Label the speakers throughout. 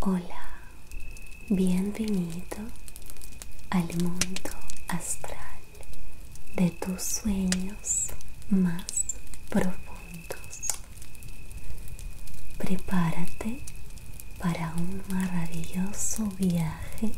Speaker 1: Hola, bienvenido al mundo astral de tus sueños más profundos. Prepárate para un maravilloso viaje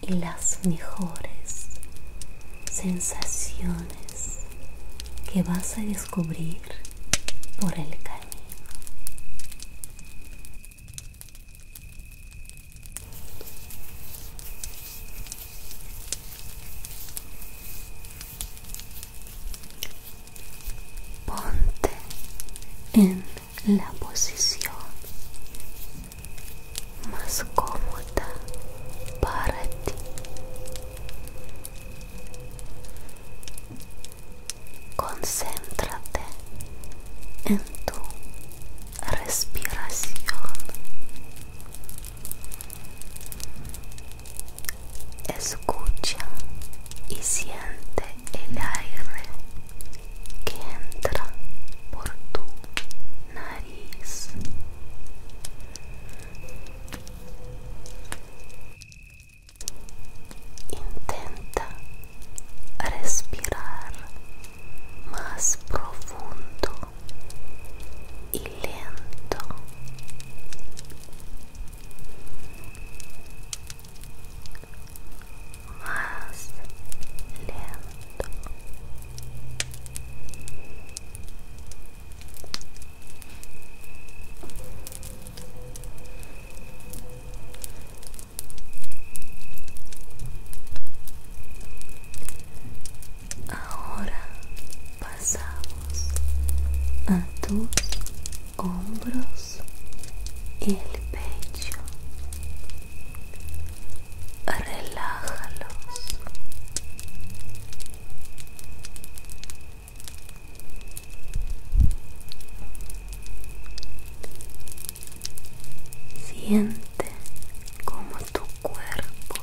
Speaker 1: y las mejores sensaciones que vas a descubrir por el camino. Ponte en la posición más cómoda para ti Concéntrate en tu respiración. Escucha y siente el aire que entra por tu nariz Intenta respirar mais profundo e lento. Mais lento. Ahora pasamos a tus hombros y el pecho. Relájalos Siente como tu cuerpo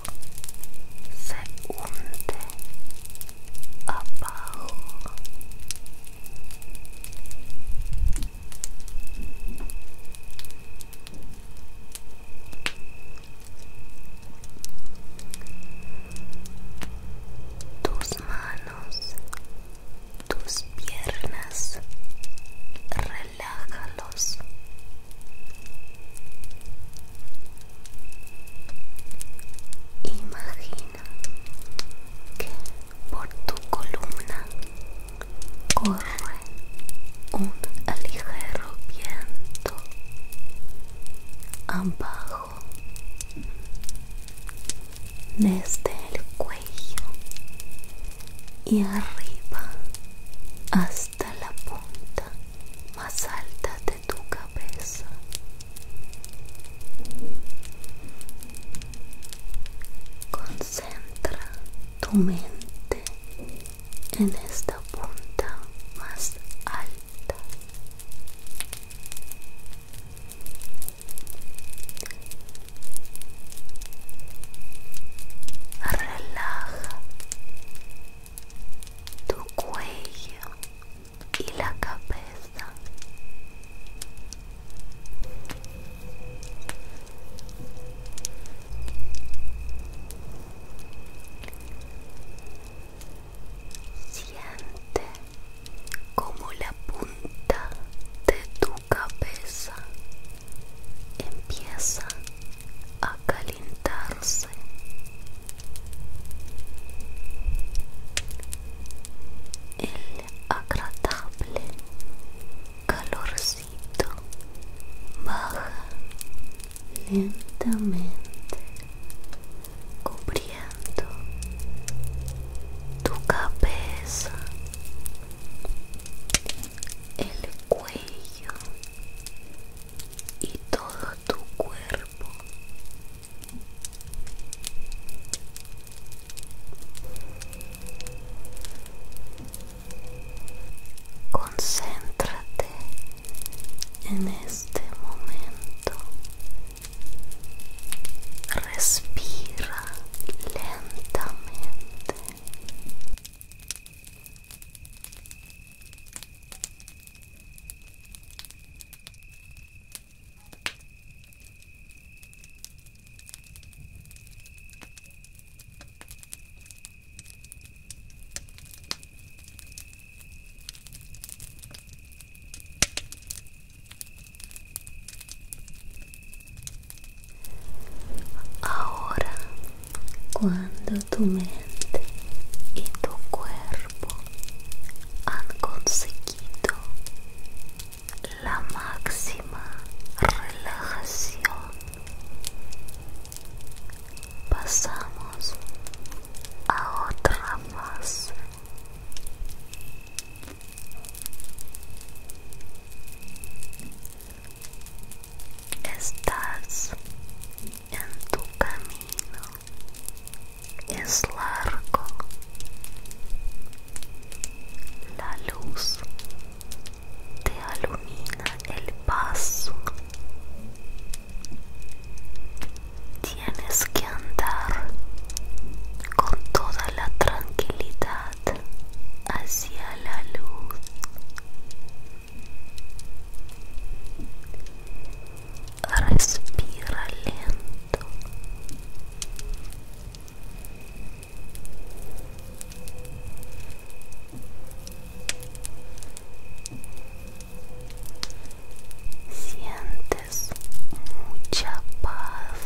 Speaker 1: se hunde abajo tus manos, tus piernas, relájalos. Imagina que por tu columna corre un ligero viento abajo desde el cuello y arriba hasta la punta más alta de tu cabeza concentra tu mente en esta punta más alta relaja tu cuello y la cabeza Siente como la punta de tu cabeza empieza a calentarse. El agradable calor baja lentamente cubriendo tu cabeza el cuello y todo tu cuerpo Concéntrate en este momento. Respira lentamente. Ahora, cuando tu mente y tu cuerpo han conseguido la máxima relajación pasamos a otra fase estás en tu camino es largo la luz te alumina el paso. Tienes que andar con toda la tranquilidad hacia la luz. Respira lento. Sientes mucha paz.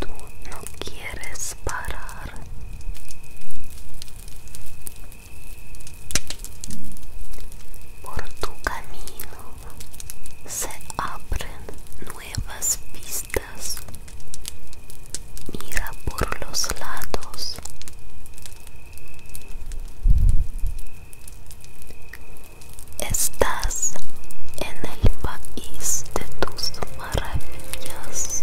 Speaker 1: Tú no quieres parar. Por tu camino se abren nuevas pistas. Mira por los lados. Estás en el país de tus maravillas.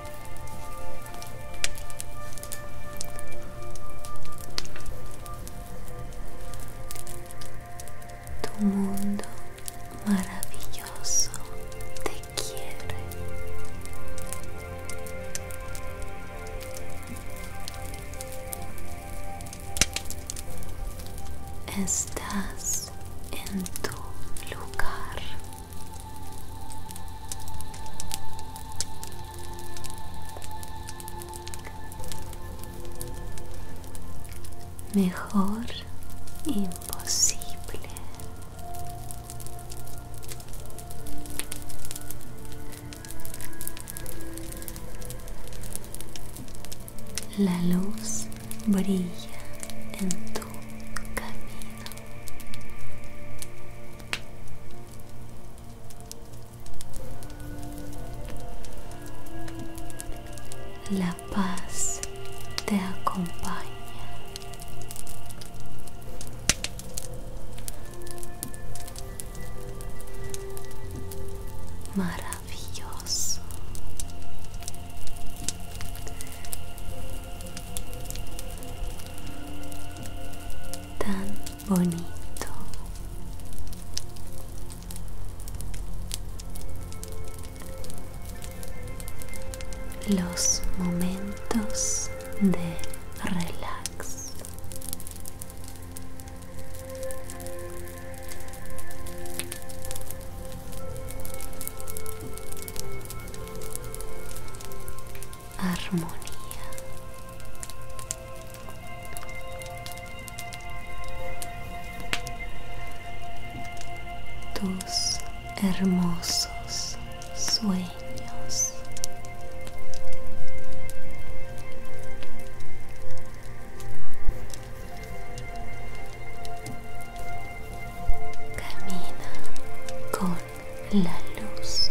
Speaker 1: Tu mundo maravilloso te quiere. Estás en tu lugar Mejor imposible. La luz brilla en tu camino. La paz te acompaña. Maravilloso tan bonito. Los momentos de relax armonía. Tus hermosos sueños. Camina con la luz.